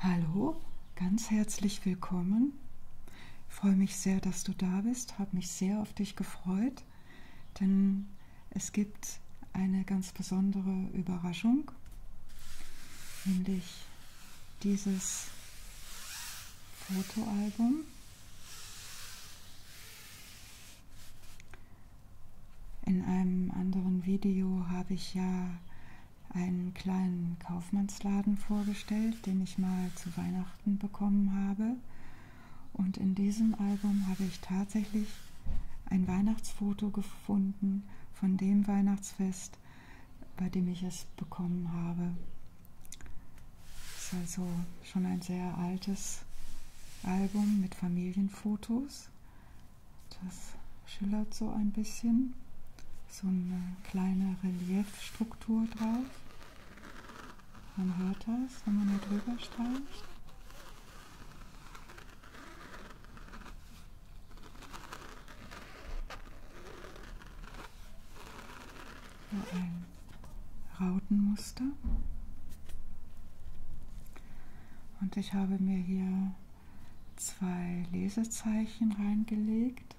Hallo, ganz herzlich willkommen. Ich freue mich sehr, dass du da bist, habe mich sehr auf dich gefreut, denn es gibt eine ganz besondere Überraschung, nämlich dieses Fotoalbum. In einem anderen Video habe ich ja einen kleinen Kaufmannsladen vorgestellt, den ich mal zu Weihnachten bekommen habe. Und in diesem Album habe ich tatsächlich ein Weihnachtsfoto gefunden von dem Weihnachtsfest, bei dem ich es bekommen habe. Es ist also schon ein sehr altes Album mit Familienfotos, das schillert so ein bisschen. So eine kleine Reliefstruktur drauf. Man hört das, wenn man da drüber streicht. So ein Rautenmuster. Und ich habe mir hier zwei Lesezeichen reingelegt.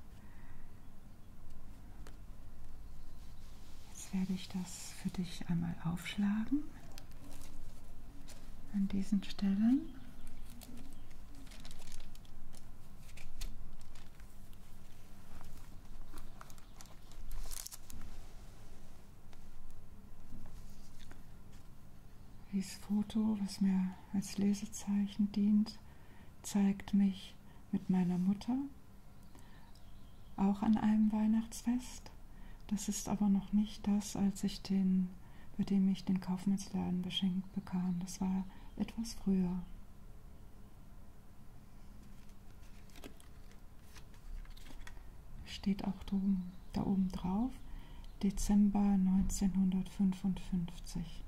Jetzt werde ich das für dich einmal aufschlagen an diesen Stellen. Dieses Foto, was mir als Lesezeichen dient, zeigt mich mit meiner Mutter auch an einem Weihnachtsfest. Das ist aber noch nicht das, als ich den, bei dem ich den Kaufmannsladen beschenkt bekam. Das war etwas früher. Steht auch da oben drauf. Dezember 1955.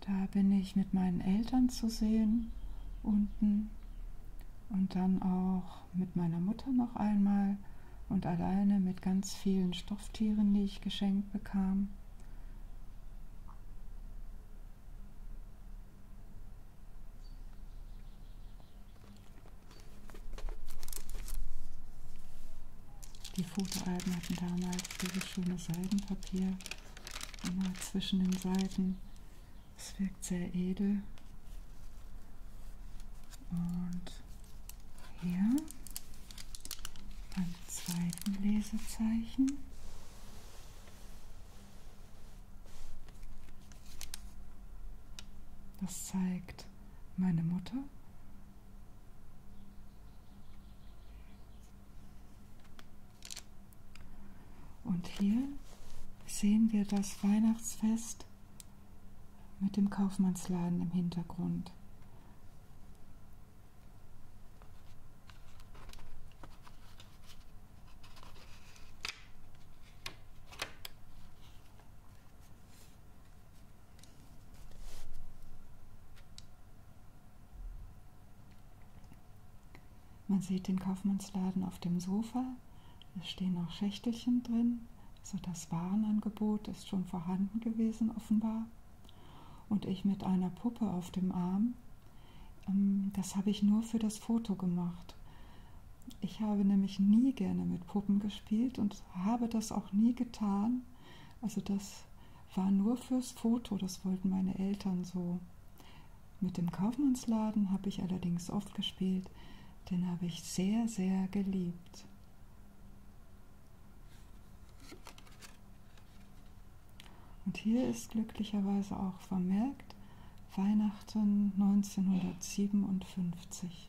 Da bin ich mit meinen Eltern zu sehen unten und dann auch mit meiner Mutter noch einmal und alleine mit ganz vielen Stofftieren, die ich geschenkt bekam. Die Fotoalben hatten damals dieses schöne Seidenpapier immer zwischen den Seiten. Es wirkt sehr edel. Und hier beim zweiten Lesezeichen das zeigt meine Mutter. Und hier sehen wir das Weihnachtsfest mit dem Kaufmannsladen im Hintergrund. Man sieht den Kaufmannsladen auf dem Sofa. Es stehen noch Schächtelchen drin. Also das Warenangebot ist schon vorhanden gewesen offenbar. Und ich mit einer Puppe auf dem Arm ähm, das habe ich nur für das Foto gemacht. Ich habe nämlich nie gerne mit Puppen gespielt und habe das auch nie getan. Also das war nur fürs Foto, das wollten meine Eltern so. Mit dem Kaufmannsladen habe ich allerdings oft gespielt, den habe ich sehr, sehr geliebt. Und hier ist glücklicherweise auch vermerkt Weihnachten 1957.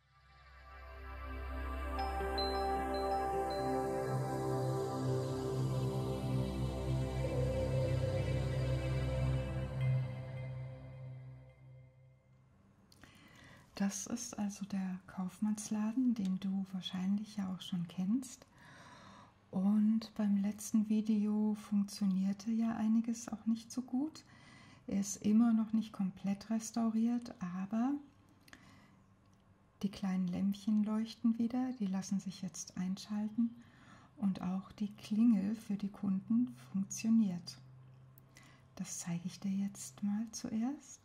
Das ist also der Kaufmannsladen, den du wahrscheinlich ja auch schon kennst. Und beim letzten Video funktionierte ja einiges auch nicht so gut. Ort. Er ist immer noch nicht komplett restauriert, aber die kleinen Lämpchen leuchten wieder, die lassen sich jetzt einschalten und auch die Klingel für die Kunden funktioniert. Das zeige ich dir jetzt mal zuerst.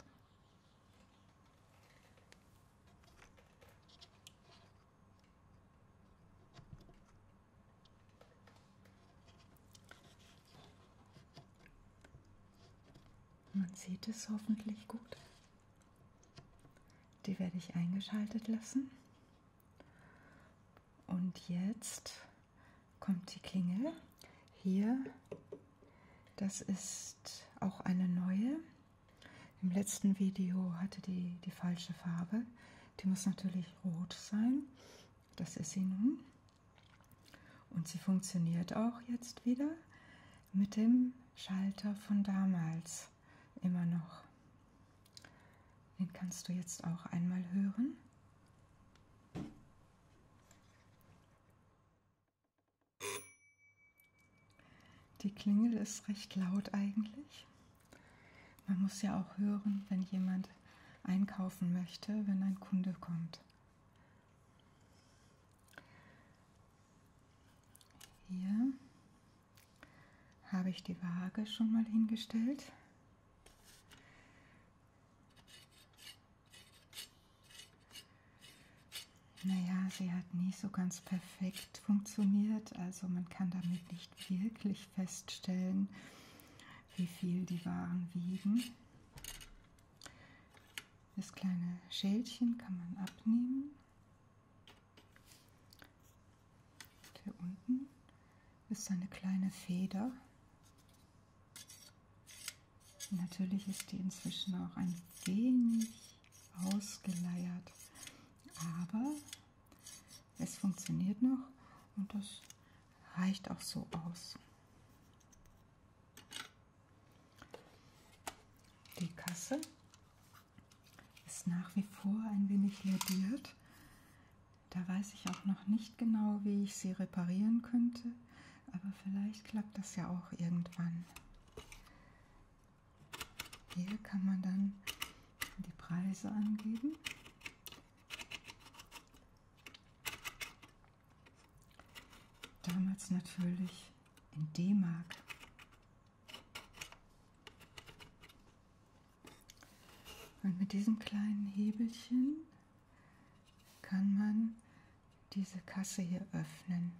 Man sieht es hoffentlich gut. Die werde ich eingeschaltet lassen. Und jetzt kommt die Klingel. Hier, das ist auch eine neue. Im letzten Video hatte die die falsche Farbe. Die muss natürlich rot sein. Das ist sie nun. Und sie funktioniert auch jetzt wieder mit dem Schalter von damals immer noch. Den kannst du jetzt auch einmal hören. Die Klingel ist recht laut eigentlich. Man muss ja auch hören, wenn jemand einkaufen möchte, wenn ein Kunde kommt. Hier habe ich die Waage schon mal hingestellt. Naja, sie hat nicht so ganz perfekt funktioniert, also man kann damit nicht wirklich feststellen, wie viel die Waren wiegen. Das kleine Schälchen kann man abnehmen. Hier unten ist eine kleine Feder. Natürlich ist die inzwischen auch ein wenig ausgeleiert, aber es funktioniert noch und das reicht auch so aus. Die Kasse ist nach wie vor ein wenig lediert. Da weiß ich auch noch nicht genau, wie ich sie reparieren könnte, aber vielleicht klappt das ja auch irgendwann. Hier kann man dann die Preise angeben. Damals natürlich in D-Mark. Und mit diesem kleinen Hebelchen kann man diese Kasse hier öffnen.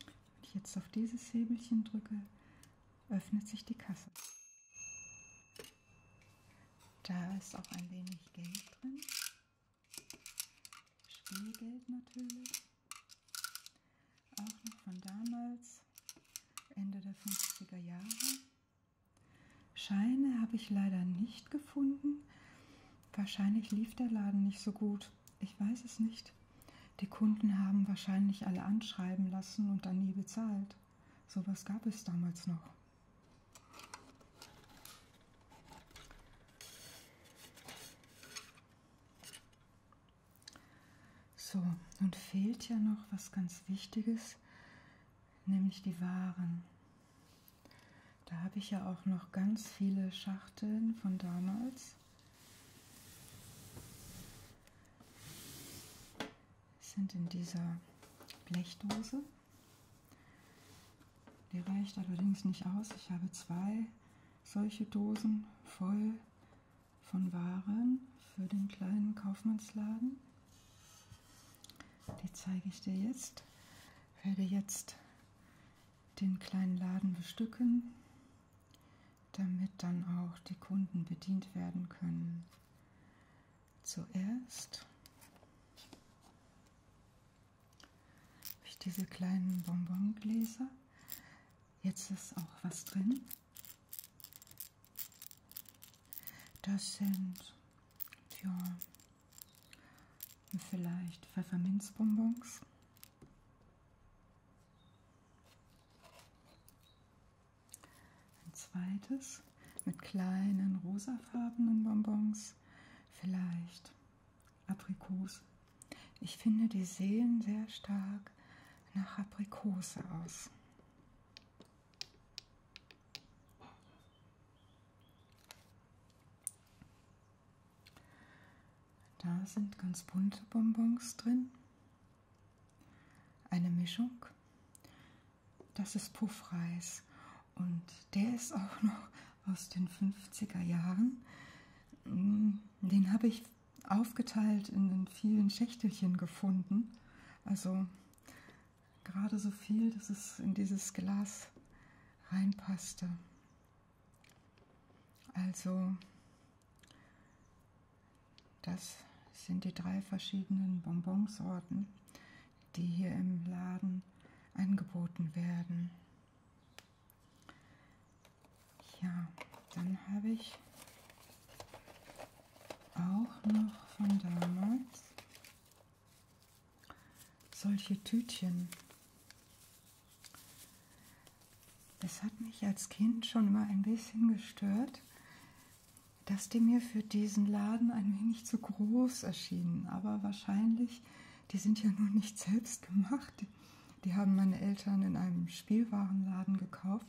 Wenn ich jetzt auf dieses Hebelchen drücke, öffnet sich die Kasse. Da ist auch ein wenig Geld drin. Spielgeld natürlich. Auch noch von damals, Ende der 50er Jahre. Scheine habe ich leider nicht gefunden. Wahrscheinlich lief der Laden nicht so gut. Ich weiß es nicht. Die Kunden haben wahrscheinlich alle anschreiben lassen und dann nie bezahlt. Sowas gab es damals noch. So, nun fehlt ja noch was ganz Wichtiges, nämlich die Waren. Da habe ich ja auch noch ganz viele Schachteln von damals sind in dieser Blechdose. Die reicht allerdings nicht aus. Ich habe zwei solche Dosen voll von Waren für den kleinen Kaufmannsladen. Die zeige ich dir jetzt. Werde jetzt den kleinen Laden bestücken, damit dann auch die Kunden bedient werden können zuerst habe ich diese kleinen Bonbongläser. Jetzt ist auch was drin. Das sind ja, vielleicht Pfefferminzbonbons. Ein zweites mit kleinen rosafarbenen Bonbons, vielleicht Aprikose. Ich finde, die sehen sehr stark nach Aprikose aus. Da sind ganz bunte Bonbons drin eine Mischung. Das ist Puffreis und der ist auch noch aus den 50er Jahren. Mm, den habe ich aufgeteilt in den vielen Schächtelchen gefunden. Also gerade so viel, dass es in dieses Glas reinpasste. Also das sind die drei verschiedenen Bonbonsorten, die hier im Laden angeboten werden. Ja, dann habe ich auch noch von damals solche Tütchen. Das hat mich als Kind schon immer ein bisschen gestört, dass die mir für diesen Laden ein wenig zu groß erschienen. Aber wahrscheinlich, die sind ja nur nicht selbst gemacht. Die haben meine Eltern in einem Spielwarenladen gekauft.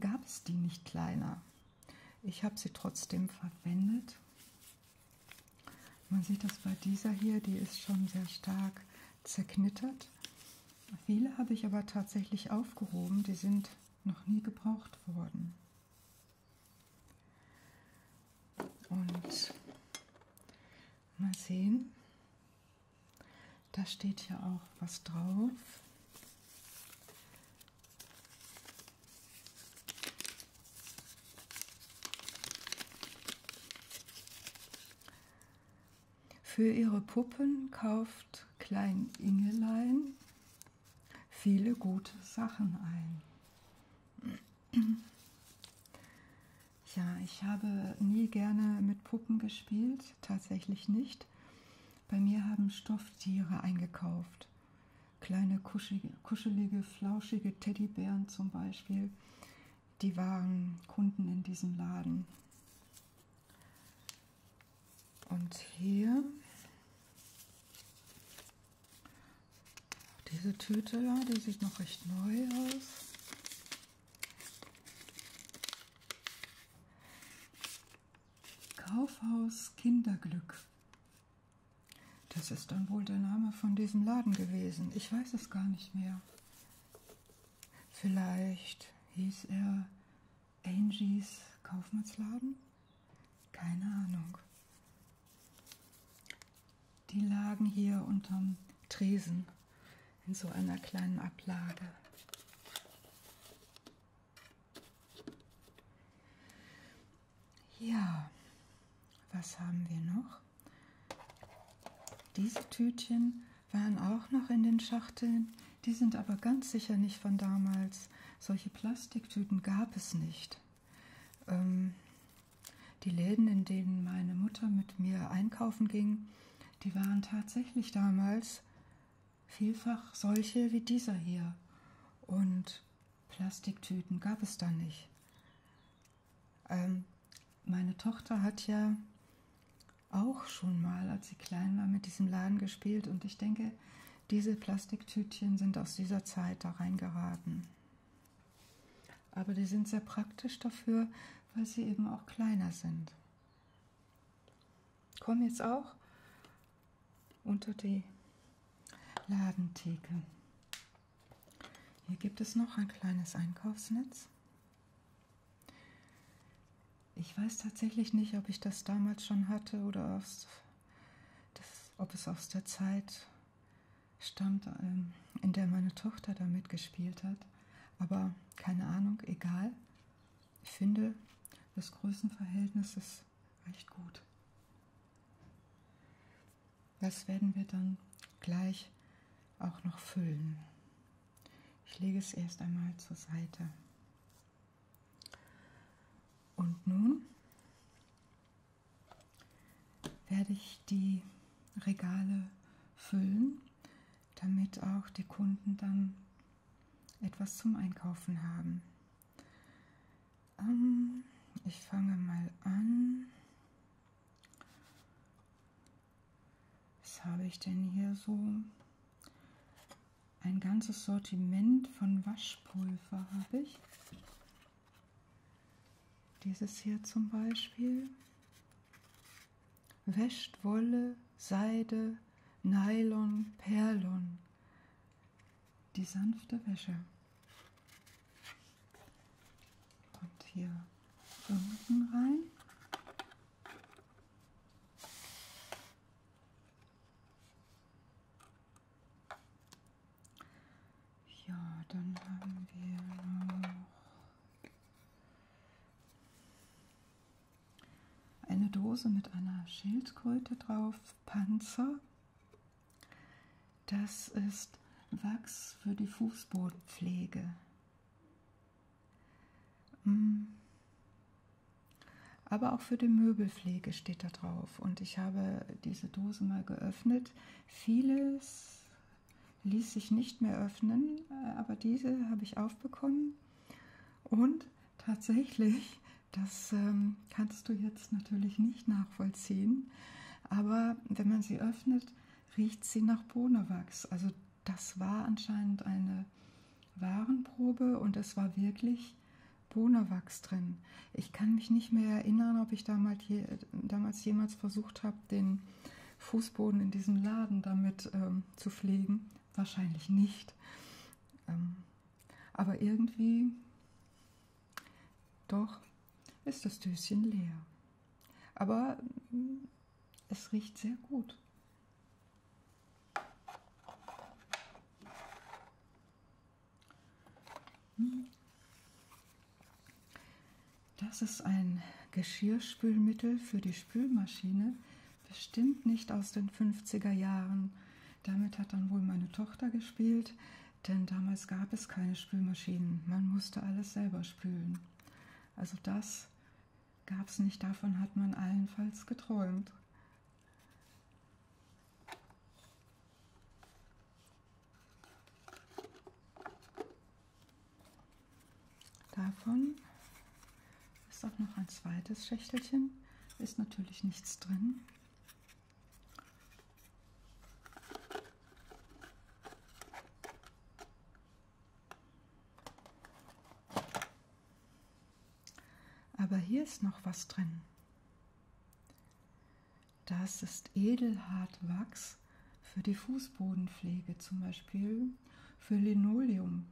Gab es die nicht kleiner? Ich habe sie trotzdem verwendet. Man sieht das bei dieser hier, die ist schon sehr stark zerknittert. Viele habe ich aber tatsächlich aufgehoben, die sind noch nie gebraucht worden. Und mal sehen, da steht ja auch was drauf. Für ihre Puppen kauft Klein Ingelein viele gute Sachen ein. Ja, ich habe nie gerne mit Puppen gespielt, tatsächlich nicht. Bei mir haben Stofftiere eingekauft. Kleine kuschelige, kuschelige flauschige Teddybären zum Beispiel. Die waren Kunden in diesem Laden. Und hier diese Tüte da, die sieht noch recht neu aus. Kaufhaus Kinderglück. Das ist dann wohl der Name von diesem Laden gewesen. Ich weiß es gar nicht mehr. Vielleicht hieß er Angies Kaufmannsladen? Keine Ahnung. Die lagen hier unterm Tresen in so einer kleinen Ablage. Ja, was haben wir noch? Diese Tütchen waren auch noch in den Schachteln. Die sind aber ganz sicher nicht von damals. Solche Plastiktüten gab es nicht. Ähm, die Läden, in denen meine Mutter mit mir einkaufen ging, die waren tatsächlich damals vielfach solche wie dieser hier. Und Plastiktüten gab es da nicht. Ähm, meine Tochter hat ja auch schon mal, als sie klein war, mit diesem Laden gespielt. Und ich denke, diese Plastiktütchen sind aus dieser Zeit da reingeraten. Aber die sind sehr praktisch dafür, weil sie eben auch kleiner sind. Komm jetzt auch unter die Ladentheke. Hier gibt es noch ein kleines Einkaufsnetz. Ich weiß tatsächlich nicht, ob ich das damals schon hatte oder erst das, ob es aus der Zeit stammt, ähm, in der meine Tochter da mitgespielt hat. Aber keine Ahnung, egal. Ich finde, das Größenverhältnis ist recht gut. Das werden wir dann gleich auch noch füllen. Ich lege es erst einmal zur Seite. Und nun werde ich die Regale füllen, damit auch die Kunden dann etwas zum Einkaufen haben. Ähm, ich fange mal an. Was habe ich denn hier so? ein ganzes Sortiment von Waschpulver habe ich. Dieses hier zum Beispiel. Wäscht Wolle, Seide, Nylon, Perlon. Die sanfte Wäsche. Und hier unten rein. Ja, dann haben wir noch eine Dose mit einer Schildkröte drauf, Panzer. Das ist Wachs für die Fußbodenpflege. Mm aber auch für die Möbelpflege steht da drauf. Und ich habe diese Dose mal geöffnet. Vieles ließ sich nicht mehr öffnen, aber diese habe ich aufbekommen. Und tatsächlich, das ähm, kannst du jetzt natürlich nicht nachvollziehen, aber wenn man sie öffnet, riecht sie nach Bohnewachs. Also das war anscheinend eine Warenprobe und es war wirklich Bohnewachs drin. Ich kann mich nicht mehr erinnern, ob ich damals, je, damals jemals versucht habe, den Fußboden in diesem Laden damit ähm, zu pflegen. Wahrscheinlich nicht. Ähm, aber irgendwie, doch, ist das Döschen leer. Aber mm, es riecht sehr gut. Das ist ein Geschirrspülmittel für die Spülmaschine, bestimmt nicht aus den 50er Jahren. Damit hat dann wohl meine Tochter gespielt, denn damals gab es keine Spülmaschinen. Man musste alles selber spülen. Also das gab es nicht, davon hat man allenfalls geträumt. Davon ist auch noch ein zweites Schächtelchen, ist natürlich nichts drin. Aber hier ist noch was drin. Das ist Edelhartwachs für die Fußbodenpflege, zum Beispiel für Linoleum.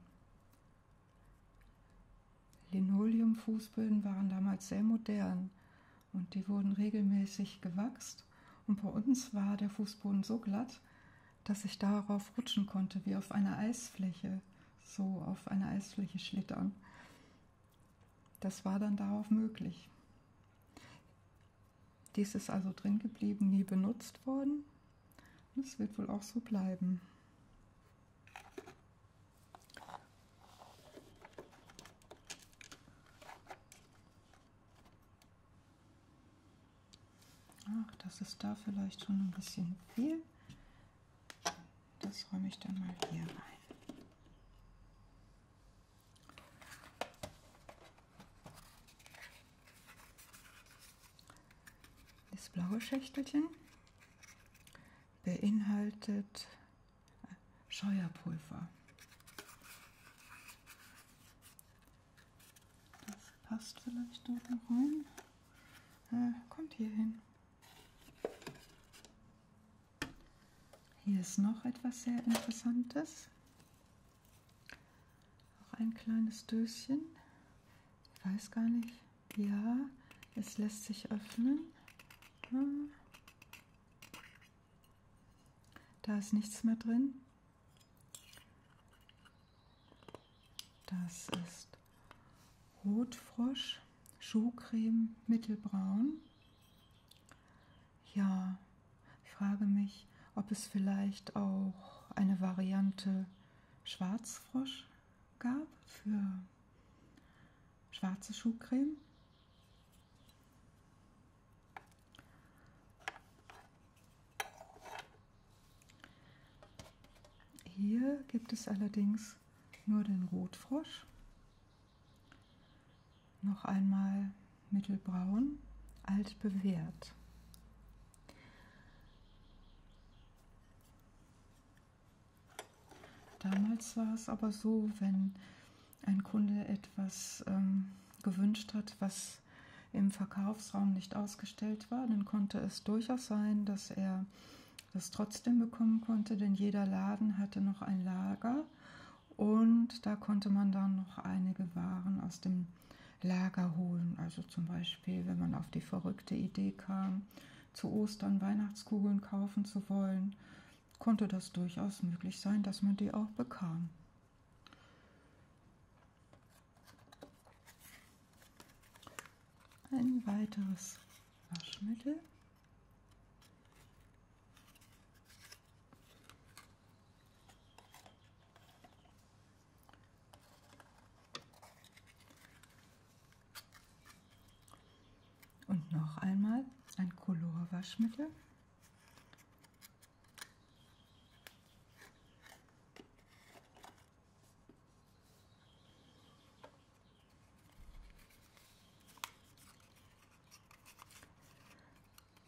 Linoleum-Fußböden waren damals sehr modern und die wurden regelmäßig gewachst. Und bei uns war der Fußboden so glatt, dass ich darauf rutschen konnte, wie auf einer Eisfläche, so auf einer Eisfläche schlittern. Das war dann darauf möglich. Dies ist also drin geblieben, nie benutzt worden. Das wird wohl auch so bleiben. Ach, das ist da vielleicht schon ein bisschen viel. Das räume ich dann mal hier rein. Das blaue Schächtelchen beinhaltet Scheuerpulver. Das passt vielleicht dort noch rein. Äh, kommt hier hin. Hier ist noch etwas sehr Interessantes. Auch ein kleines Döschen. Ich weiß gar nicht. Ja, es lässt sich öffnen. Hm. Da ist nichts mehr drin. Das ist Rotfrosch. Schuhcreme mittelbraun. Ja, ich frage mich, ob es vielleicht auch eine Variante Schwarzfrosch gab für schwarze Schuhcreme. Hier gibt es allerdings nur den Rotfrosch. Noch einmal mittelbraun, alt bewährt. Damals war es aber so, wenn ein Kunde etwas ähm, gewünscht hat, was im Verkaufsraum nicht ausgestellt war, dann konnte es durchaus sein, dass er das trotzdem bekommen konnte, denn jeder Laden hatte noch ein Lager und da konnte man dann noch einige Waren aus dem Lager holen. Also zum Beispiel, wenn man auf die verrückte Idee kam, zu Ostern Weihnachtskugeln kaufen zu wollen, konnte das durchaus möglich sein, dass man die auch bekam. Ein weiteres Waschmittel. Und noch einmal ein Colorwaschmittel.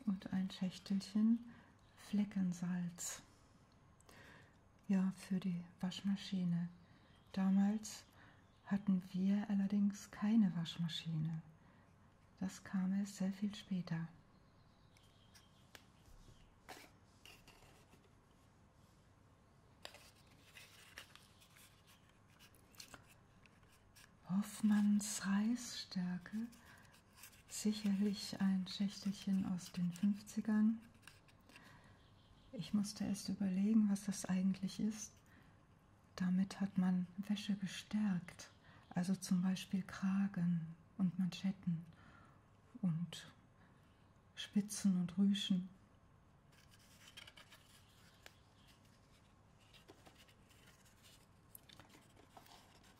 Und ein Schächtelchen Fleckensalz. Ja, für die Waschmaschine. Damals hatten wir allerdings keine Waschmaschine. Das kam erst sehr viel später. Hoffmanns Reisstärke, sicherlich ein Schächtelchen aus den 50ern. Ich musste erst überlegen, was das eigentlich ist. Damit hat man Wäsche gestärkt, also zum Beispiel Kragen und Manschetten und Spitzen und Rüschen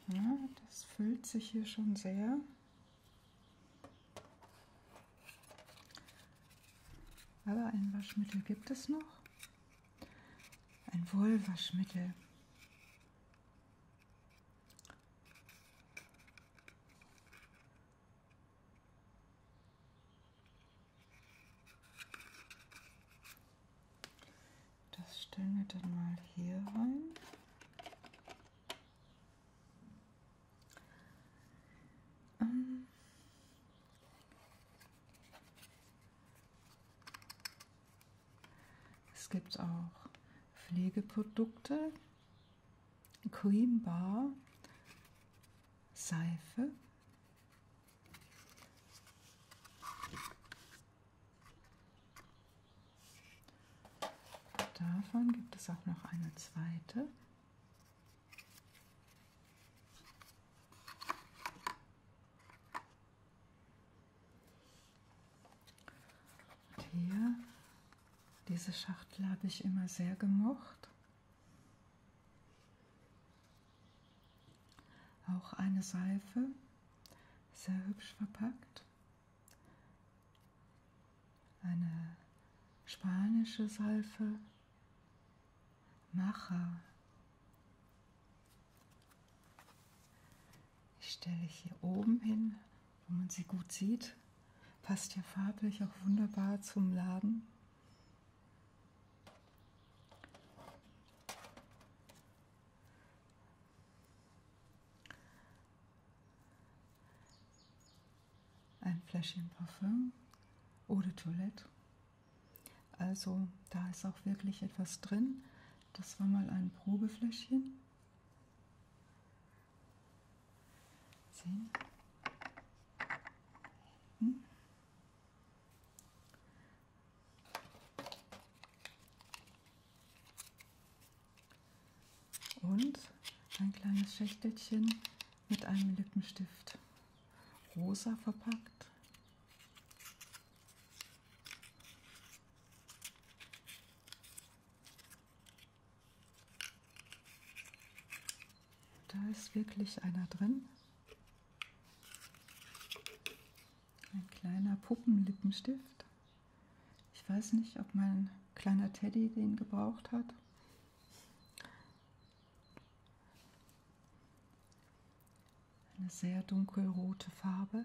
ja, das füllt sich hier schon sehr. Aber ein Waschmittel gibt es noch. Ein Wollwaschmittel. Das stellen wir dann mal hier rein. Ähm es gibt auch Pflegeprodukte, Cream Bar, Seife, Davon gibt es auch noch eine zweite. Und hier, diese Schachtel habe ich immer sehr gemocht. Auch eine Seife, sehr hübsch verpackt. Eine spanische Seife, Macher. Die stelle ich hier oben hin, wo man sie gut sieht. Passt ja farblich auch wunderbar zum Laden. Ein Fläschchen Parfüm oder Toilette. Also da ist auch wirklich etwas drin. Das war mal ein Probefläschchen. Sehen. Hm. Und ein kleines Schächtelchen mit einem Lippenstift. Rosa verpackt. Da ist wirklich einer drin. Ein kleiner Puppenlippenstift. Ich weiß nicht, ob mein kleiner Teddy den gebraucht hat. Eine sehr dunkelrote Farbe.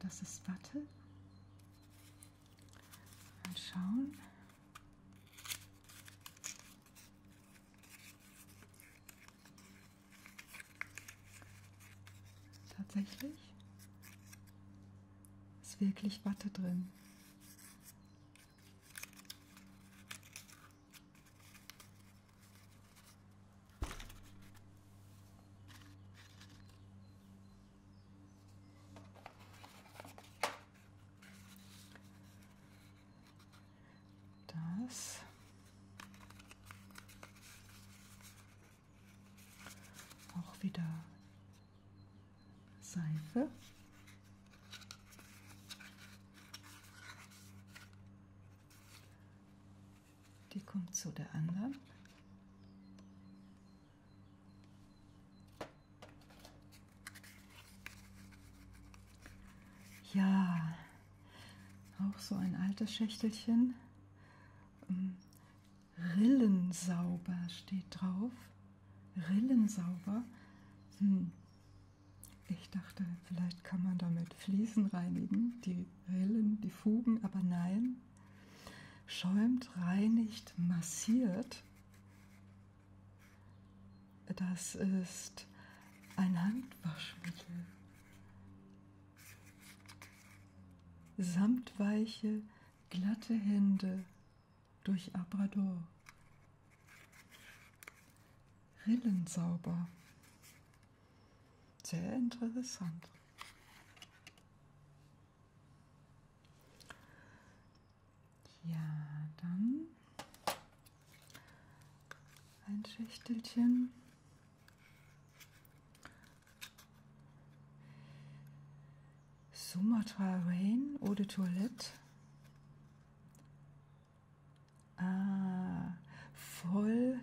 Das ist Watte. Mal schauen. Tatsächlich ist wirklich Watte drin. Das. Auch wieder Seife. Die kommt zu der anderen. Ja, auch so ein altes Schächtelchen. Ähm, Rillensauber steht drauf. Rillensauber. Hm. Ich dachte, vielleicht kann man damit Fliesen reinigen, die Rillen, die Fugen, aber nein, schäumt, reinigt, massiert. Das ist ein Handwaschmittel. Samtweiche, glatte Hände durch Abrador. Rillensauber. Sehr interessant. Ja, dann ein Schächtelchen. Sumatra Rain Eau de Toilette. Ah, voll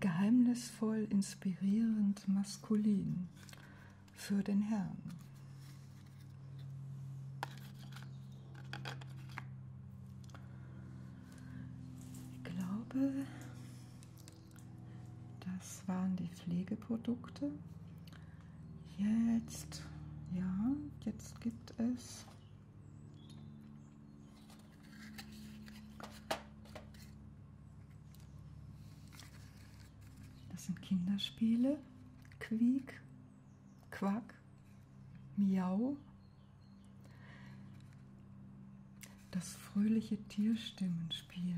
geheimnisvoll, inspirierend, maskulin für den Herrn. Ich glaube, das waren die Pflegeprodukte. Jetzt, ja, jetzt gibt es das sind Kinderspiele. Quiek, Quack, Miau. Das fröhliche Tierstimmenspiel.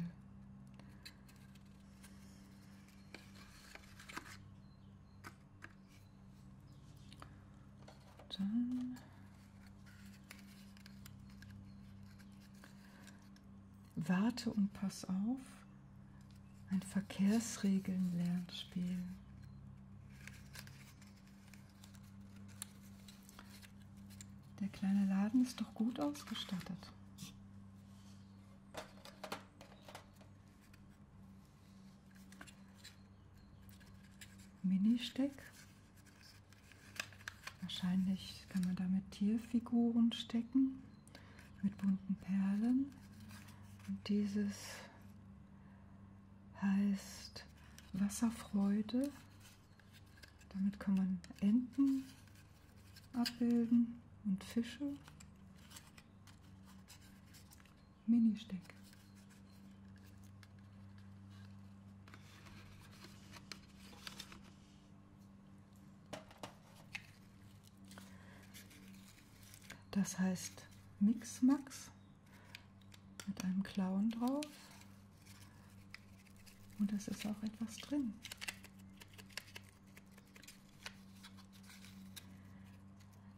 Dann Warte und pass auf. Ein Verkehrsregeln-Lernspiel. Der kleine Laden ist doch gut ausgestattet. Mini-Steck Wahrscheinlich kann man damit Tierfiguren stecken mit bunten Perlen. Und dieses heißt Wasserfreude. Damit kann man Enten abbilden und Fische. Mini-Steck. Das heißt Mixmax mit einem Clown drauf. Und es ist auch etwas drin.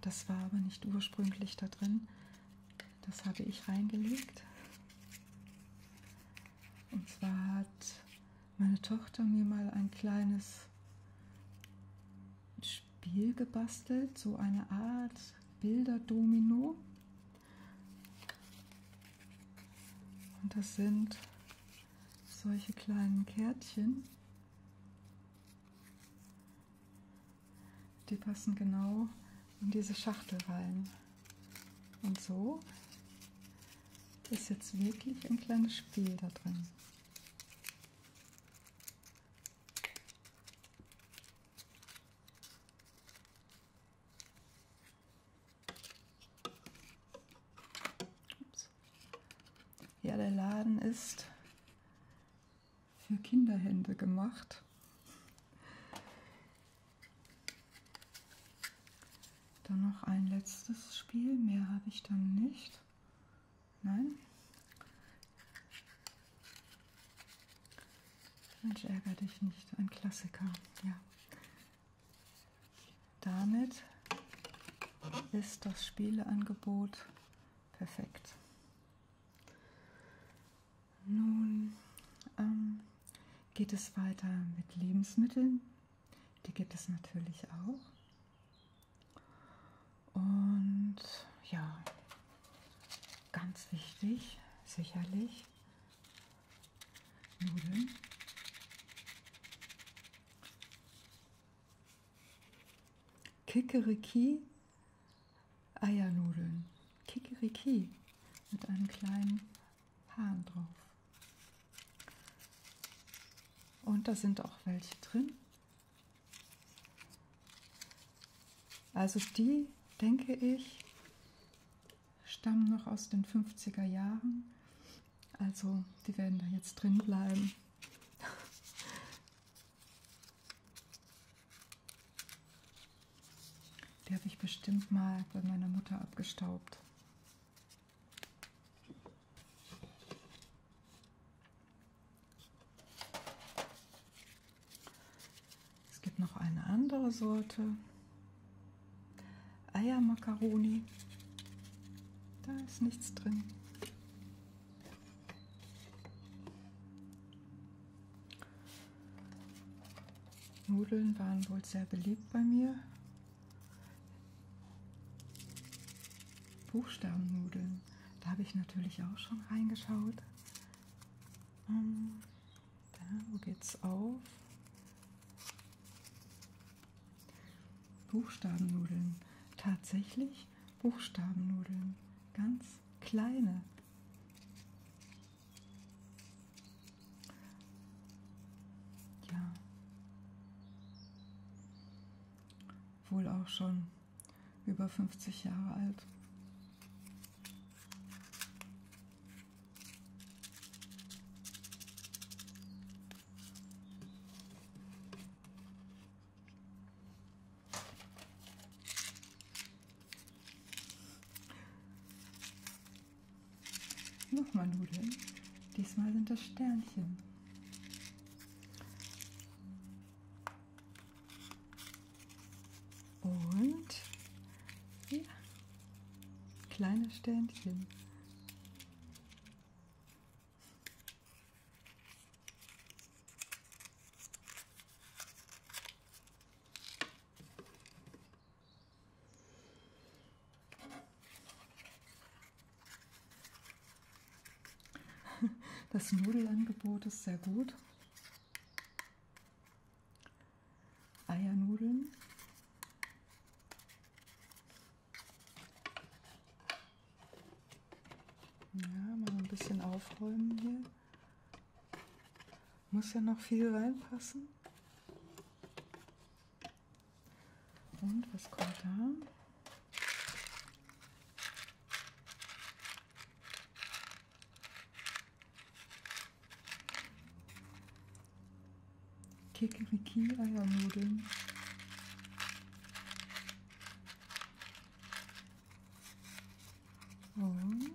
Das war aber nicht ursprünglich da drin. Das hatte ich reingelegt. Und zwar hat meine Tochter mir mal ein kleines Spiel gebastelt, so eine Art Bilderdomino. Und das sind solche kleinen Kärtchen. Die passen genau in diese Schachtel rein. Und so ist jetzt wirklich ein kleines Spiel da drin. Ups. Ja, der Laden ist für Kinderhände gemacht. Dann noch ein letztes Spiel, mehr habe ich dann nicht. Nein. Mensch, ärgere dich nicht, ein Klassiker, ja. Damit ist das Spieleangebot perfekt. Nun ähm, geht es weiter mit Lebensmitteln. Die gibt es natürlich auch. Und ja, ganz wichtig, sicherlich, Nudeln. Kikeriki Eiernudeln. Kikeriki mit einem kleinen Haaren drauf. Und da sind auch welche drin. Also die, denke ich, stammen noch aus den 50er Jahren. Also die werden da jetzt drin bleiben. Die habe ich bestimmt mal bei meiner Mutter abgestaubt. Es gibt noch eine andere Sorte. Eiermakaroni. Da ist nichts drin. Nudeln waren wohl sehr beliebt bei mir. Buchstabennudeln, da habe ich natürlich auch schon reingeschaut. Ähm, da, wo geht's auf? Buchstabennudeln, tatsächlich Buchstabennudeln, ganz kleine. Ja. Wohl auch schon über 50 Jahre alt. Nochmal Nudeln. Diesmal sind das Sternchen. Und ja, kleine Sternchen. Das Nudelangebot ist sehr gut. Eiernudeln. Ja, mal ein bisschen aufräumen hier. Muss ja noch viel reinpassen. Und was kommt da? Kikeriki Eiernudeln. Und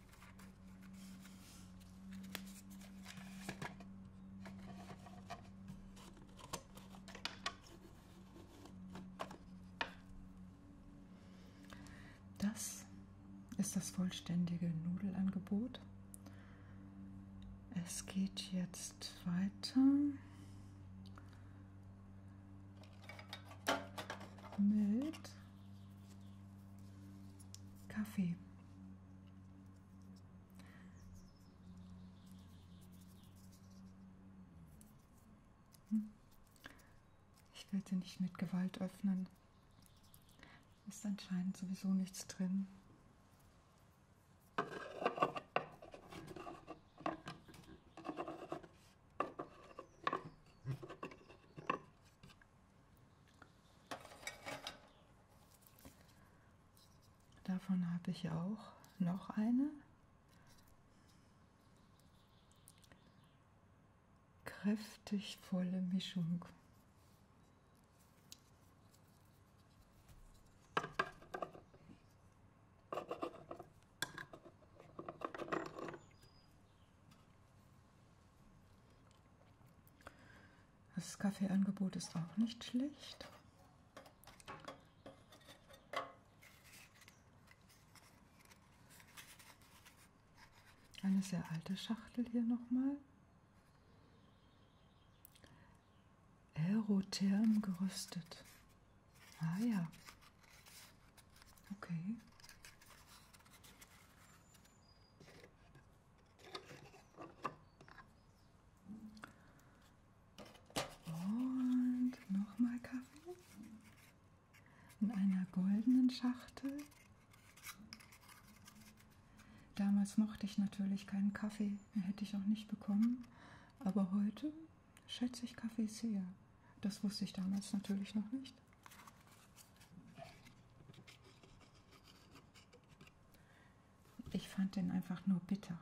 Das ist das vollständige Nudelangebot. Es geht jetzt weiter mit Kaffee. Hm? Ich werde nicht mit Gewalt öffnen. Ist anscheinend sowieso nichts drin. Davon habe ich auch noch eine. Kräftig volle Mischung. Das Kaffeeangebot ist auch nicht schlecht. Eine sehr alte Schachtel hier nochmal. Aerotherm geröstet. Ah ja, Okay. Und nochmal Kaffee in einer goldenen Schachtel. Damals mochte ich natürlich keinen Kaffee, hätte ich auch nicht bekommen. Aber heute schätze ich Kaffee sehr. Das wusste ich damals natürlich noch nicht. Ich fand den einfach nur bitter.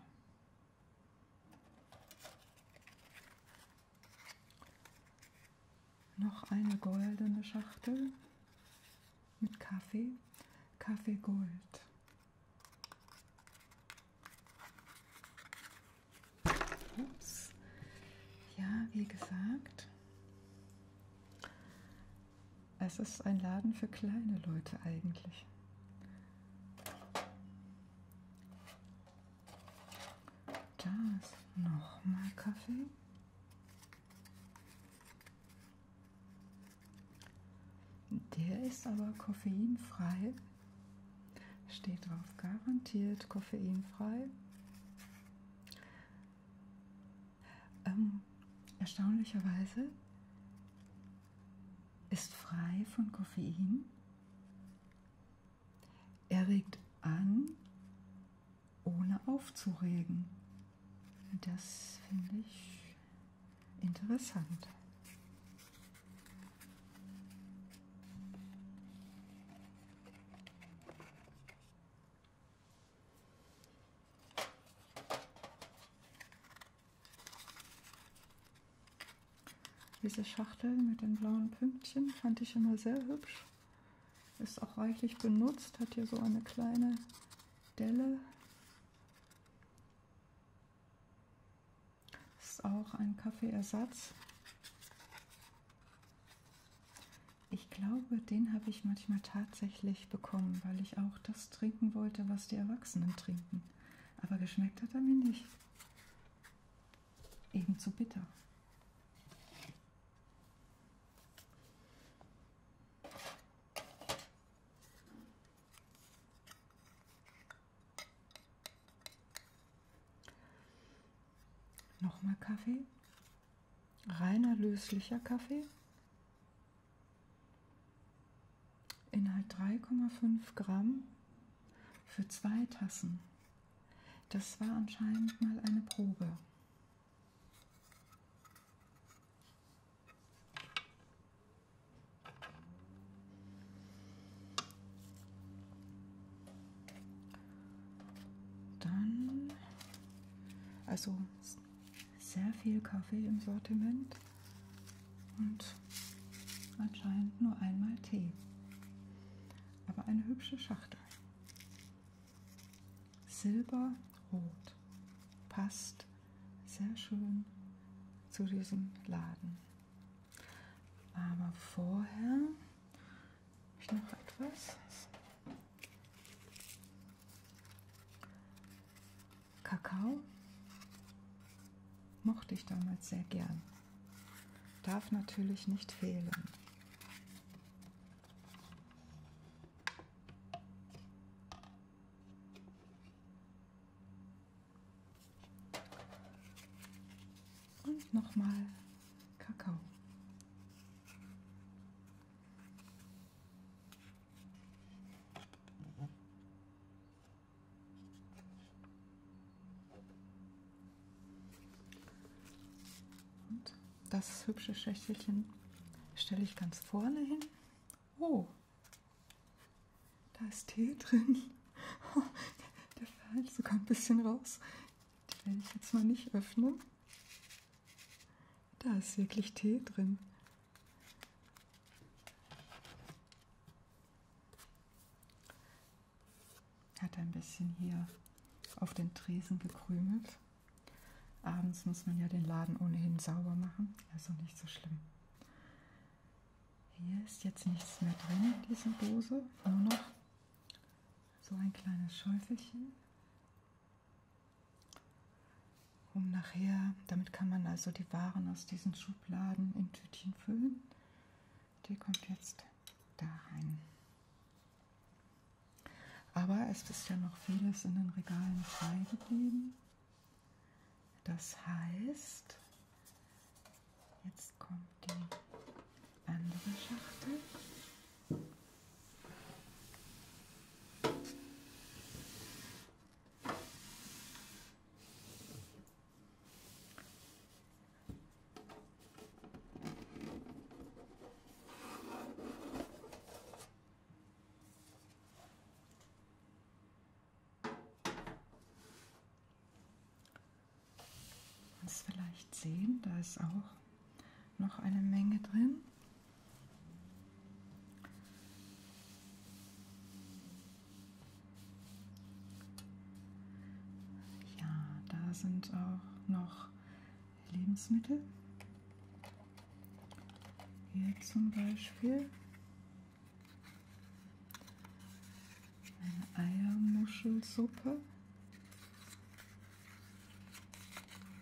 Noch eine goldene Schachtel mit Kaffee. Kaffee Gold. Ups. Ja, wie gesagt, es ist ein Laden für kleine Leute eigentlich. Da ist nochmal Kaffee. Der ist aber koffeinfrei. Steht drauf, garantiert koffeinfrei. Ähm, erstaunlicherweise ist frei von Koffein. Er regt an, ohne aufzuregen. Das finde ich interessant. Diese Schachtel mit den blauen Pünktchen fand ich immer sehr hübsch. Ist auch reichlich benutzt, hat hier so eine kleine Delle. Ist auch ein Kaffeeersatz. Ich glaube, den habe ich manchmal tatsächlich bekommen, weil ich auch das trinken wollte, was die Erwachsenen trinken. Aber geschmeckt hat er mir nicht. Eben zu bitter. Nochmal Kaffee. Reiner löslicher Kaffee. Inhalt 3,5 Gramm für zwei Tassen. Das war anscheinend mal eine Probe. Dann, also sehr viel Kaffee im Sortiment und anscheinend nur einmal Tee. Aber eine hübsche Schachtel. Silberrot passt sehr schön zu diesem Laden. Aber vorher ich noch etwas. Kakao mochte ich damals sehr gern. Darf natürlich nicht fehlen und nochmal Kakao. Und das hübsche Schächtelchen stelle ich ganz vorne hin. Oh, da ist Tee drin. Der fällt sogar ein bisschen raus. Die werde ich jetzt mal nicht öffnen. Da ist wirklich Tee drin. Hat ein bisschen hier auf den Tresen gekrümelt. Abends muss man ja den Laden ohnehin sauber machen, also nicht so schlimm. Hier ist jetzt nichts mehr drin in dieser Dose, nur noch so ein kleines Schäufelchen, um nachher, damit kann man also die Waren aus diesen Schubladen in Tütchen füllen. Die kommt jetzt da rein. Aber es ist ja noch vieles in den Regalen frei geblieben. Das heißt, jetzt kommt die andere Schachtel. Das vielleicht sehen, da ist auch noch eine Menge drin. Ja, da sind auch noch Lebensmittel. Hier zum Beispiel eine Eiermuschelsuppe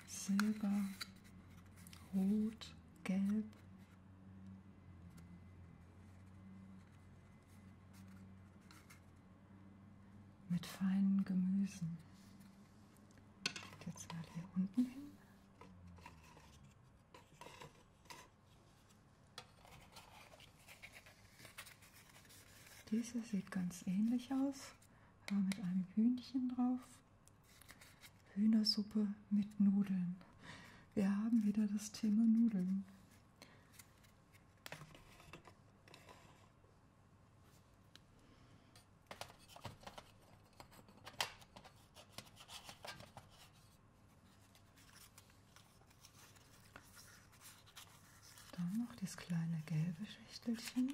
Silber, Rot, Gelb. Mit feinen Gemüsen. Geht jetzt mal hier unten hin. Diese sieht ganz ähnlich aus war mit einem Hühnchen drauf. Hühnersuppe mit Nudeln. Wir haben wieder das Thema Nudeln. Dann noch das kleine gelbe Schichtelchen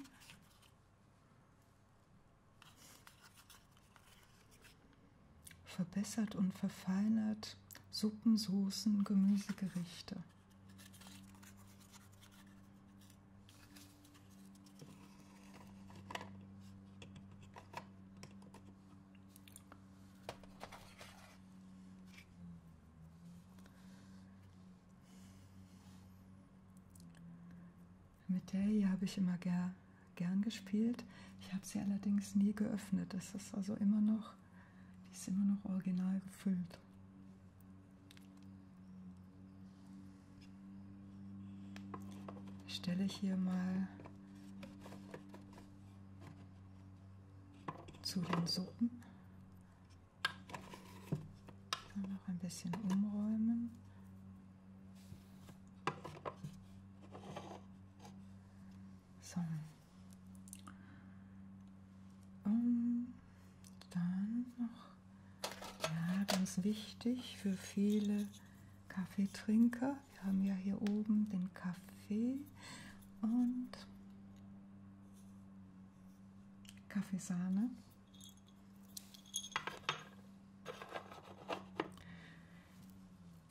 verbessert und verfeinert Suppen, Soßen, Gemüsegerichte. Mit der hier habe ich immer ger gern gespielt. Ich habe sie allerdings nie geöffnet. Das ist also immer noch, die ist immer noch original gefüllt. Ich stelle ich hier mal zu den Suppen noch ein bisschen umräumen. So. Und dann noch, ja, ganz wichtig für viele Kaffeetrinker. Wir haben ja hier oben den Kaffee und Kaffeesahne.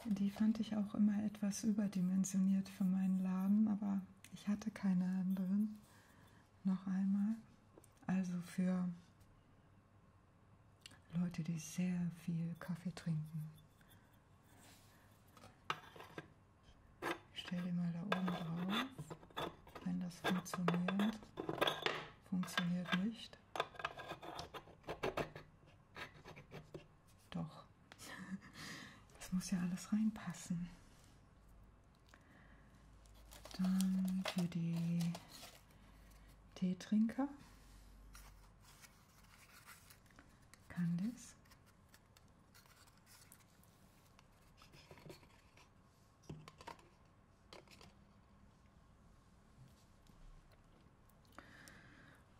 Die fand ich auch immer etwas überdimensioniert für meinen Laden, aber ich hatte keine anderen. Noch einmal. Also für Leute, die sehr viel Kaffee trinken. Ich stelle den mal da oben drauf, wenn das funktioniert. Funktioniert nicht. Doch. Das muss ja alles reinpassen. Dann für die Teetrinker. Candice.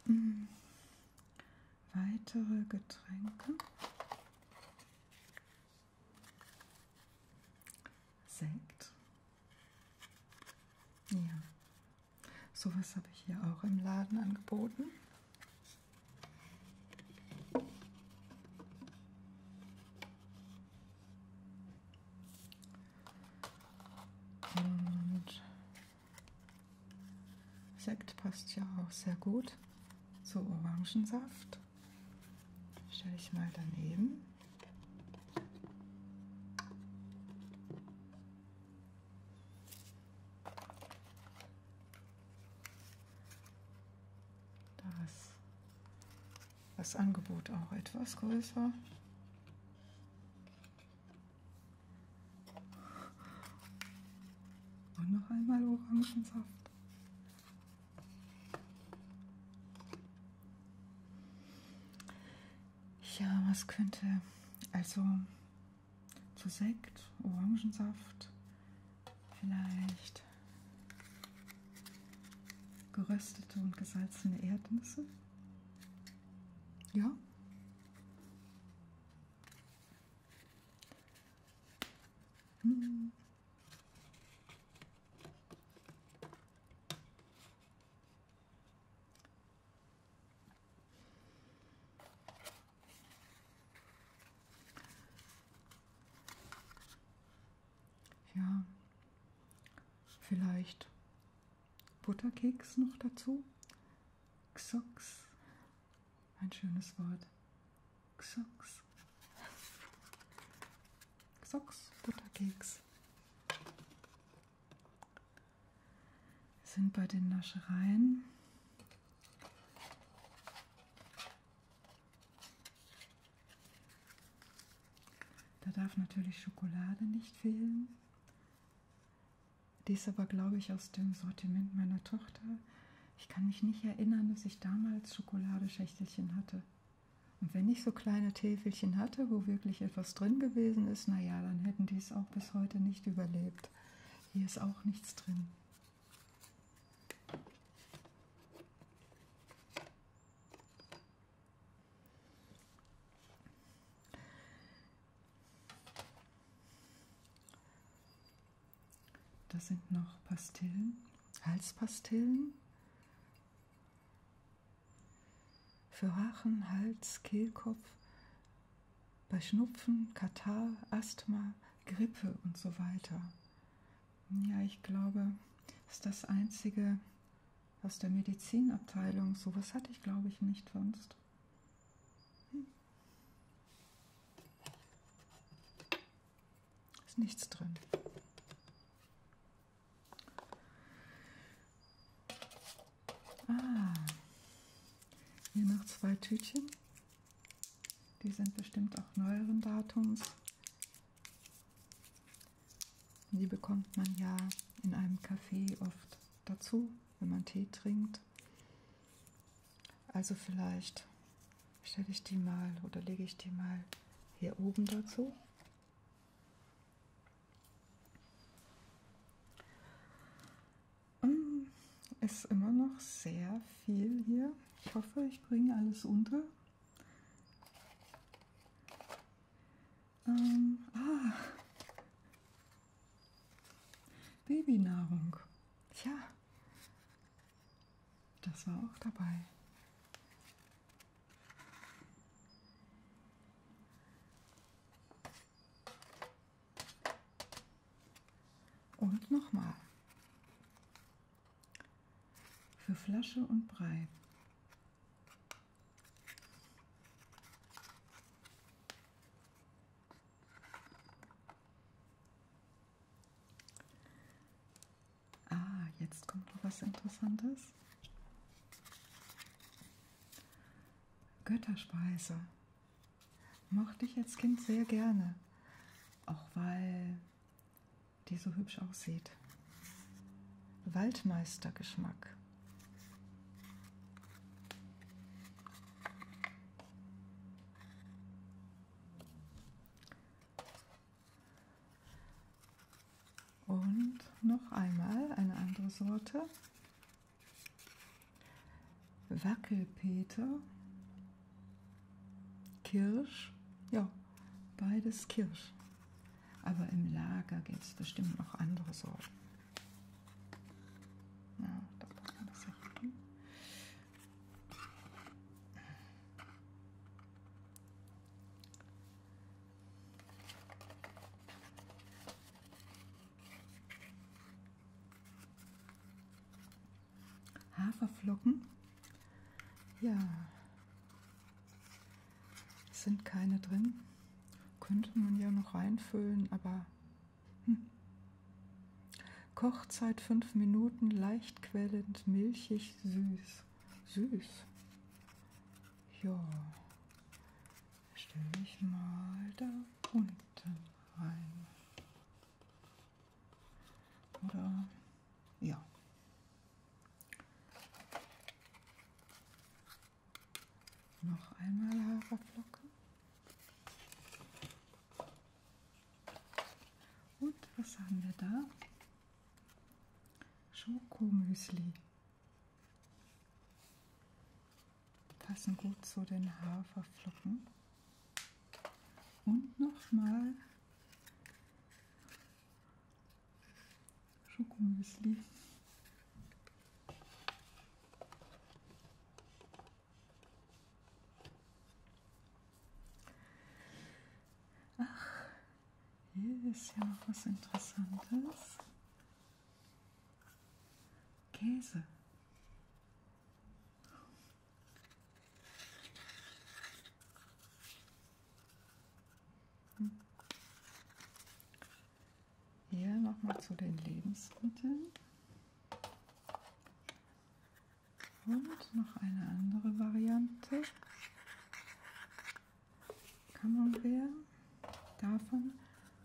Hm. Weitere Getränke. Sekt. Ja, sowas habe ich hier auch im Laden angeboten. Und Sekt passt ja auch sehr gut zu Orangensaft. Stelle ich mal daneben. Das das Angebot auch etwas größer. Und noch einmal Orangensaft. Ja, was könnte also zu Sekt, Orangensaft, vielleicht geröstete und gesalzene Erdnüsse. Ja. Hm. Ja, vielleicht Butterkeks noch dazu. Xox, ein schönes Wort. Xox. Xox, Butterkeks. Wir sind bei den Naschereien. Da darf natürlich Schokolade nicht fehlen. Die ist aber, glaube ich, aus dem Sortiment meiner Tochter. Ich kann mich nicht erinnern, dass ich damals Schokoladeschächtelchen hatte. Und wenn ich so kleine Täfelchen hatte, wo wirklich etwas drin gewesen ist, naja, dann hätten die es auch bis heute nicht überlebt. Hier ist auch nichts drin. Das sind noch Pastillen, Halspastillen für Haaren, Hals, Kehlkopf, bei Schnupfen, Katar, Asthma, Grippe und so weiter. Ja, ich glaube, das ist das einzige aus der Medizinabteilung. Sowas hatte ich, glaube ich, nicht sonst. Hm. Ist nichts drin. Ah, hier noch zwei Tütchen. Die sind bestimmt auch neueren Datums. Die bekommt man ja in einem Café oft dazu, wenn man Tee trinkt. Also vielleicht stelle ich die mal oder lege ich die mal hier oben dazu. Mm, ist immer noch sehr viel hier. Ich hoffe, ich bringe alles unter. Ähm, ah. Babynahrung. Ja. Das war auch dabei. Und nochmal für Flasche und Brei. Ah, jetzt kommt noch was Interessantes. Götterspeise. Mochte ich als Kind sehr gerne. Auch weil die so hübsch aussieht. Waldmeistergeschmack. Und noch einmal eine andere Sorte. Wackelpeter. Kirsch, ja, beides Kirsch. Aber im Lager gibt es bestimmt noch andere Sorten. Ja, da kann man das ja hier Haferflocken ja, es sind keine drin. Könnte man ja noch reinfüllen, aber hm. Kochzeit 5 Minuten, leicht quellend, milchig, süß. Süß. Ja, stelle ich mal da unten rein. Oder ja. Noch einmal Haferflocken. Und was haben wir da? Schokomüsli. Passen gut zu den Haferflocken. Und nochmal Schokomüsli. Ach, hier ist ja noch was Interessantes. Käse. Hier hm. nochmal zu den Lebensmitteln. Und noch eine andere Variante. Camembert. Davon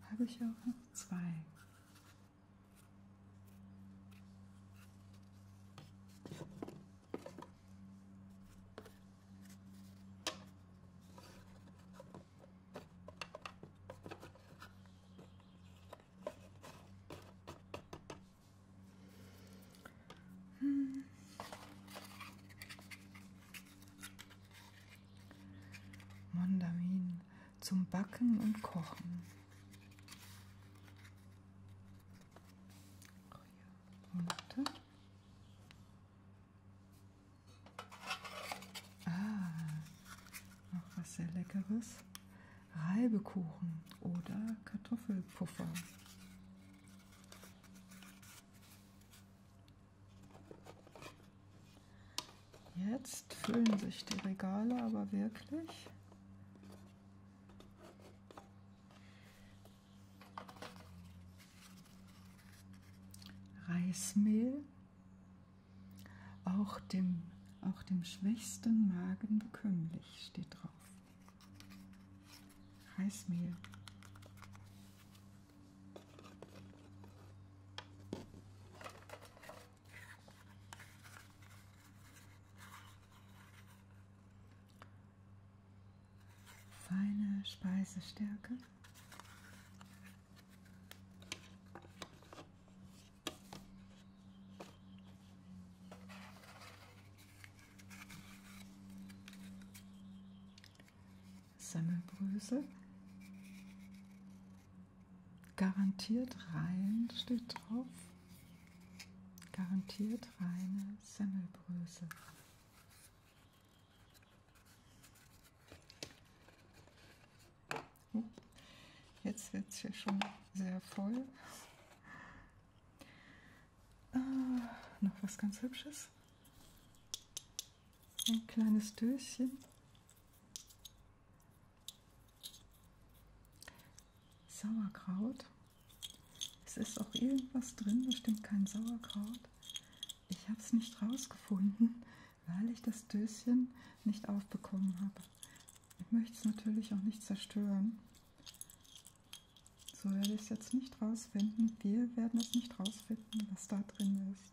habe ich auch noch zwei. Hm. Mondamin zum Backen und Kochen. Oh ja. Monate. Ah, noch was sehr Leckeres. Reibekuchen oder Kartoffelpuffer. Jetzt füllen sich die Regale aber wirklich. Reismehl auch dem, auch dem schwächsten Magen bekömmlich steht drauf. Reismehl feine Speisestärke. Semmelbrösel. Garantiert rein steht drauf. Garantiert reine Semmelbrösel. Hm? Jetzt wird es hier schon sehr voll. Ah, noch was ganz Hübsches. Ein kleines Döschen. Sauerkraut. Es ist auch irgendwas drin, bestimmt kein Sauerkraut. Ich habe es nicht rausgefunden, weil ich das Döschen nicht aufbekommen habe. Ich möchte es natürlich auch nicht zerstören. So werde ich es jetzt nicht rausfinden. Wir werden es nicht rausfinden, was da drin ist.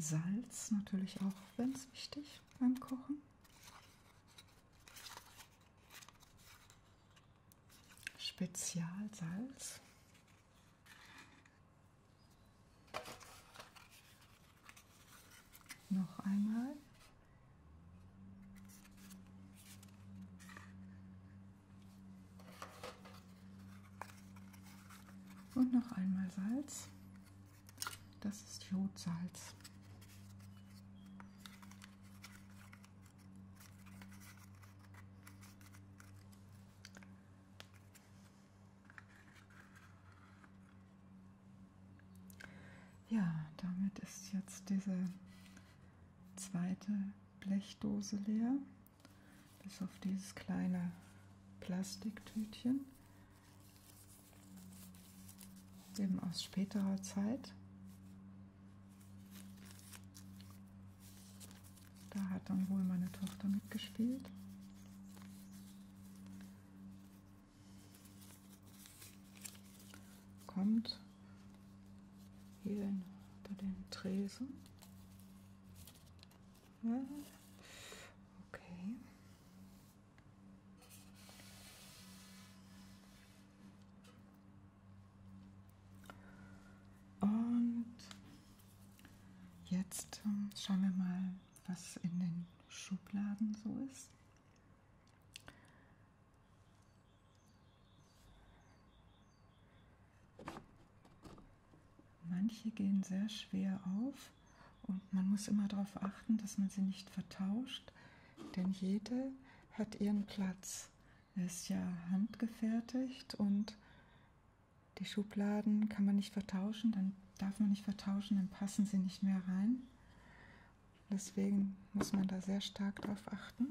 Salz natürlich auch ganz wichtig beim Kochen. Spezialsalz. Noch einmal. Und noch einmal Salz. Das ist Jodsalz. Ja, damit ist jetzt diese zweite Blechdose leer, bis auf dieses kleine Plastiktütchen, eben aus späterer Zeit. Da hat dann wohl meine Tochter mitgespielt. Kommt hier bei den Tresen. Ja. Okay. Und jetzt ähm, schauen wir mal, was in den Schubladen so ist. Manche gehen sehr schwer auf und man muss immer darauf achten, dass man sie nicht vertauscht, denn jede hat ihren Platz. Er ist ja handgefertigt und die Schubladen kann man nicht vertauschen, dann darf man nicht vertauschen, dann passen sie nicht mehr rein. Deswegen muss man da sehr stark drauf achten.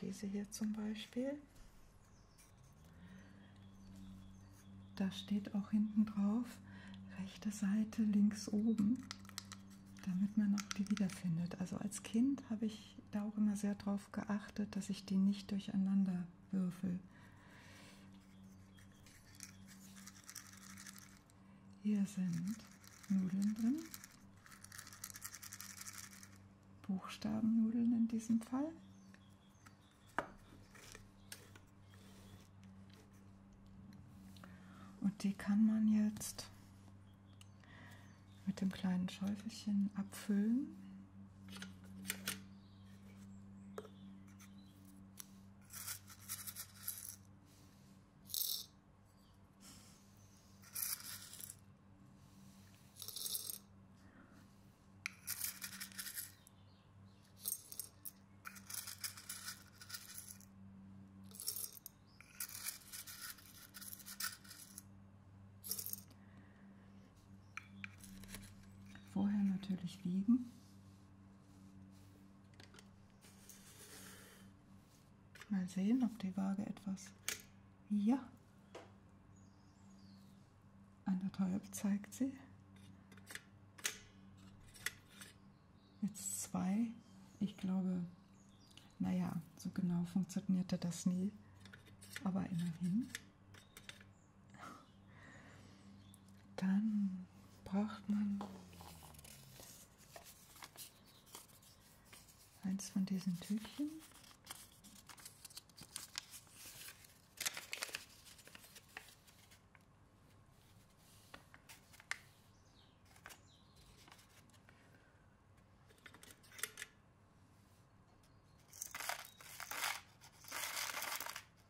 Diese hier zum Beispiel. Da steht auch hinten drauf, rechte Seite links oben, damit man auch die wiederfindet. Also als Kind habe ich da auch immer sehr drauf geachtet, dass ich die nicht durcheinander würfel. Hier sind Nudeln drin. Buchstabennudeln in diesem Fall. Und die kann man jetzt mit dem kleinen Schäufelchen abfüllen. Vorher natürlich wiegen. Mal sehen, ob die Waage etwas. Ja. Anderthalb zeigt sie. Jetzt zwei. Ich glaube, naja, so genau funktionierte das nie. Aber immerhin. Dann braucht man eins von diesen Tütchen.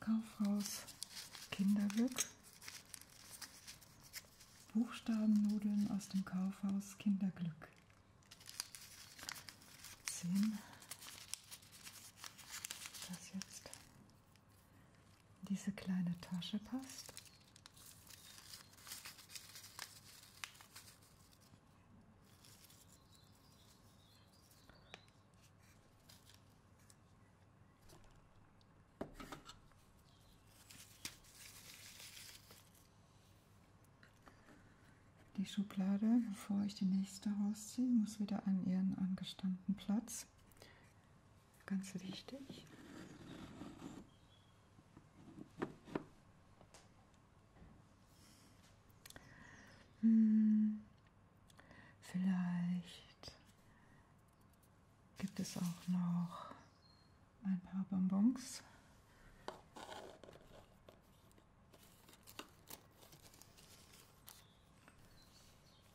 Kaufhaus Kinderglück. Buchstabennudeln aus dem Kaufhaus Kinderglück. 10. Das jetzt diese kleine Tasche passt. Die Schublade, bevor ich die nächste rausziehe, muss wieder an ihren angestammten Platz ist ganz wichtig. Hm, vielleicht gibt es auch noch ein paar Bonbons.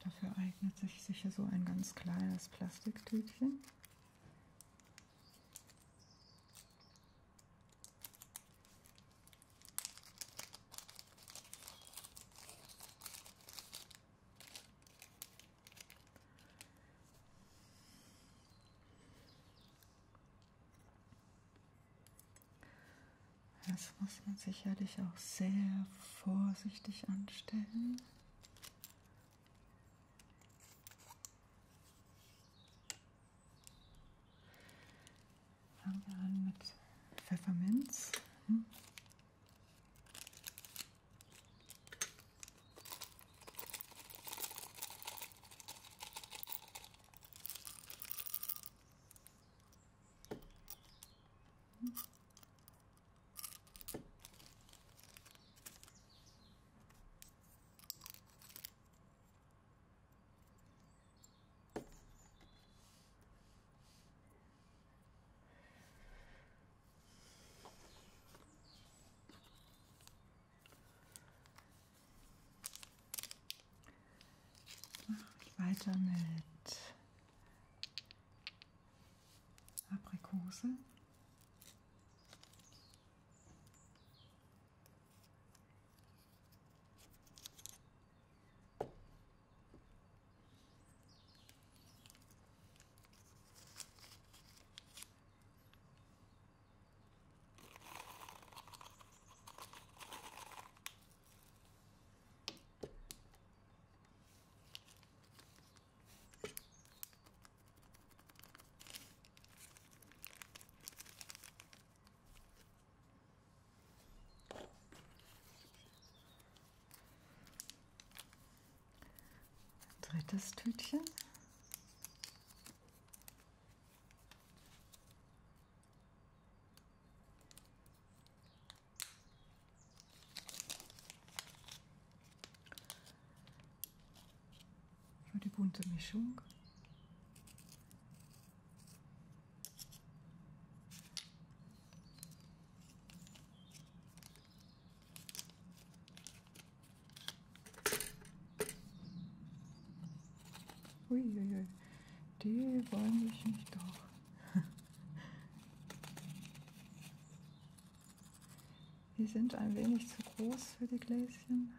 Dafür eignet sich sicher so ein ganz kleines Plastiktütchen. Das muss man sicherlich auch sehr vorsichtig anstellen. Fangen wir an mit Pfefferminz. Hm. Weiter mit Aprikose. Drittes Tütchen. Für die bunte Mischung. Uiuiui, die wollen mich nicht doch. Die sind ein wenig zu groß für die Gläschen.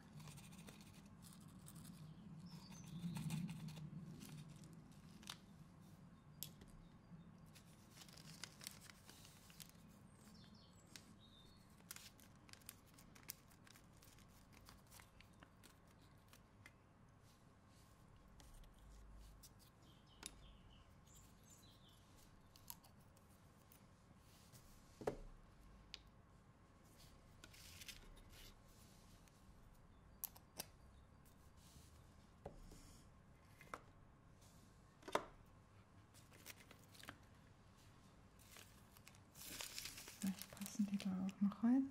Vielleicht passen die da auch noch rein.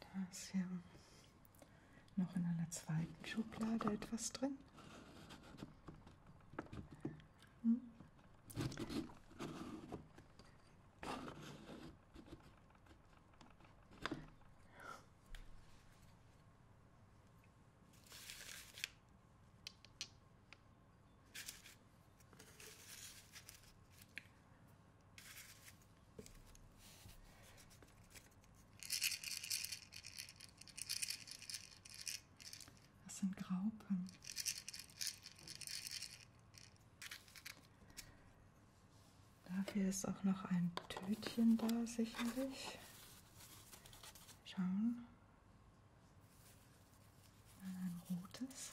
Da ist ja noch in einer zweiten Schublade etwas drin. Hm. Das sind Graupen. Dafür ist auch noch ein Tütchen da, sicherlich. Schauen. Ein rotes.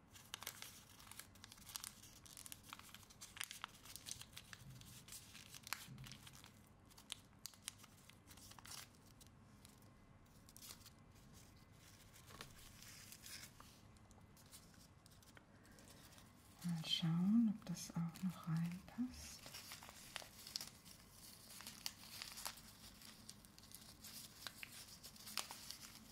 Mal schauen, ob das auch noch reinpasst.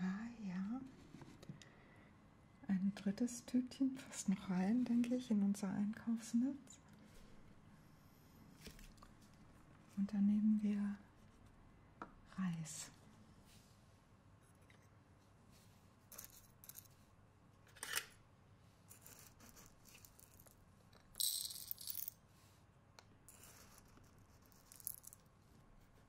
Ah ja. Ein drittes Tütchen passt noch rein, denke ich, in unser Einkaufsnetz. Und dann nehmen wir Reis.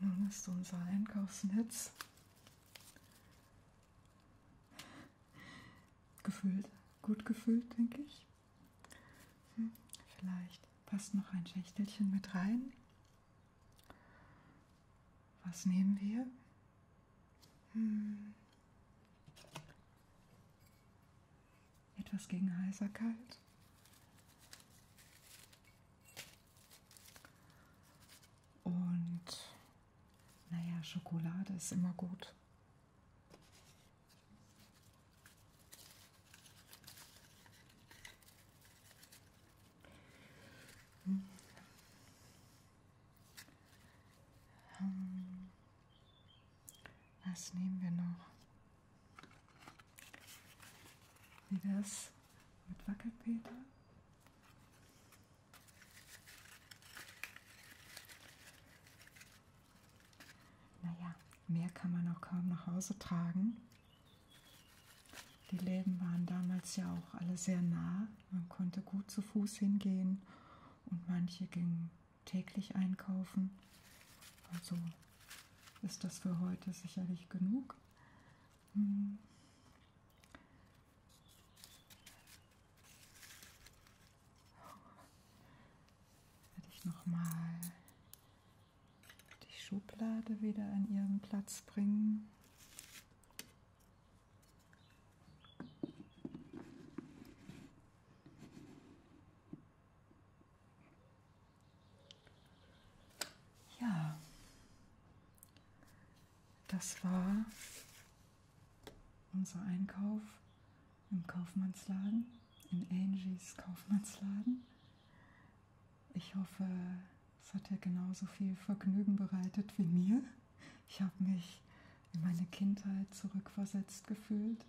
Nun ist unser Einkaufsnetz gefüllt, gut gefüllt, denke ich. Hm, vielleicht passt noch ein Schächtelchen mit rein. Was nehmen wir? Hm. Etwas gegen Heiserkeit. Und naja, Schokolade ist immer gut. Hm. Ähm, was nehmen wir noch? Wie das mit Wackelpeter. Naja, mehr kann man auch kaum nach Hause tragen. Die Läden waren damals ja auch alle sehr nah. Man konnte gut zu Fuß hingehen und manche gingen täglich einkaufen. Also ist das für heute sicherlich genug. Hm. Werde ich nochmal die Schublade wieder an ihren Platz bringen. Ja, das war unser Einkauf im Kaufmannsladen, in Angies Kaufmannsladen. Ich hoffe, es hat dir genauso viel Vergnügen bereitet wie mir. Ich habe mich in meine Kindheit zurückversetzt gefühlt.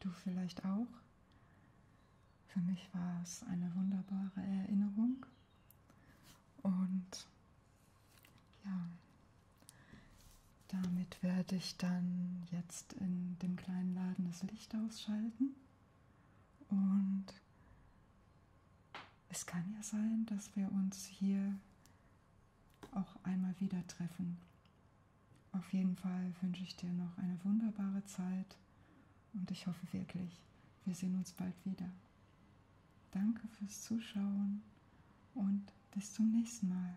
Du vielleicht auch. Für mich war es eine wunderbare Erinnerung und ja, damit werde ich dann jetzt in dem kleinen Laden das Licht ausschalten und es kann ja sein, dass wir uns hier auch einmal wieder treffen. Auf jeden Fall wünsche ich dir noch eine wunderbare Zeit und ich hoffe wirklich, wir sehen uns bald wieder. Danke fürs Zuschauen und bis zum nächsten Mal.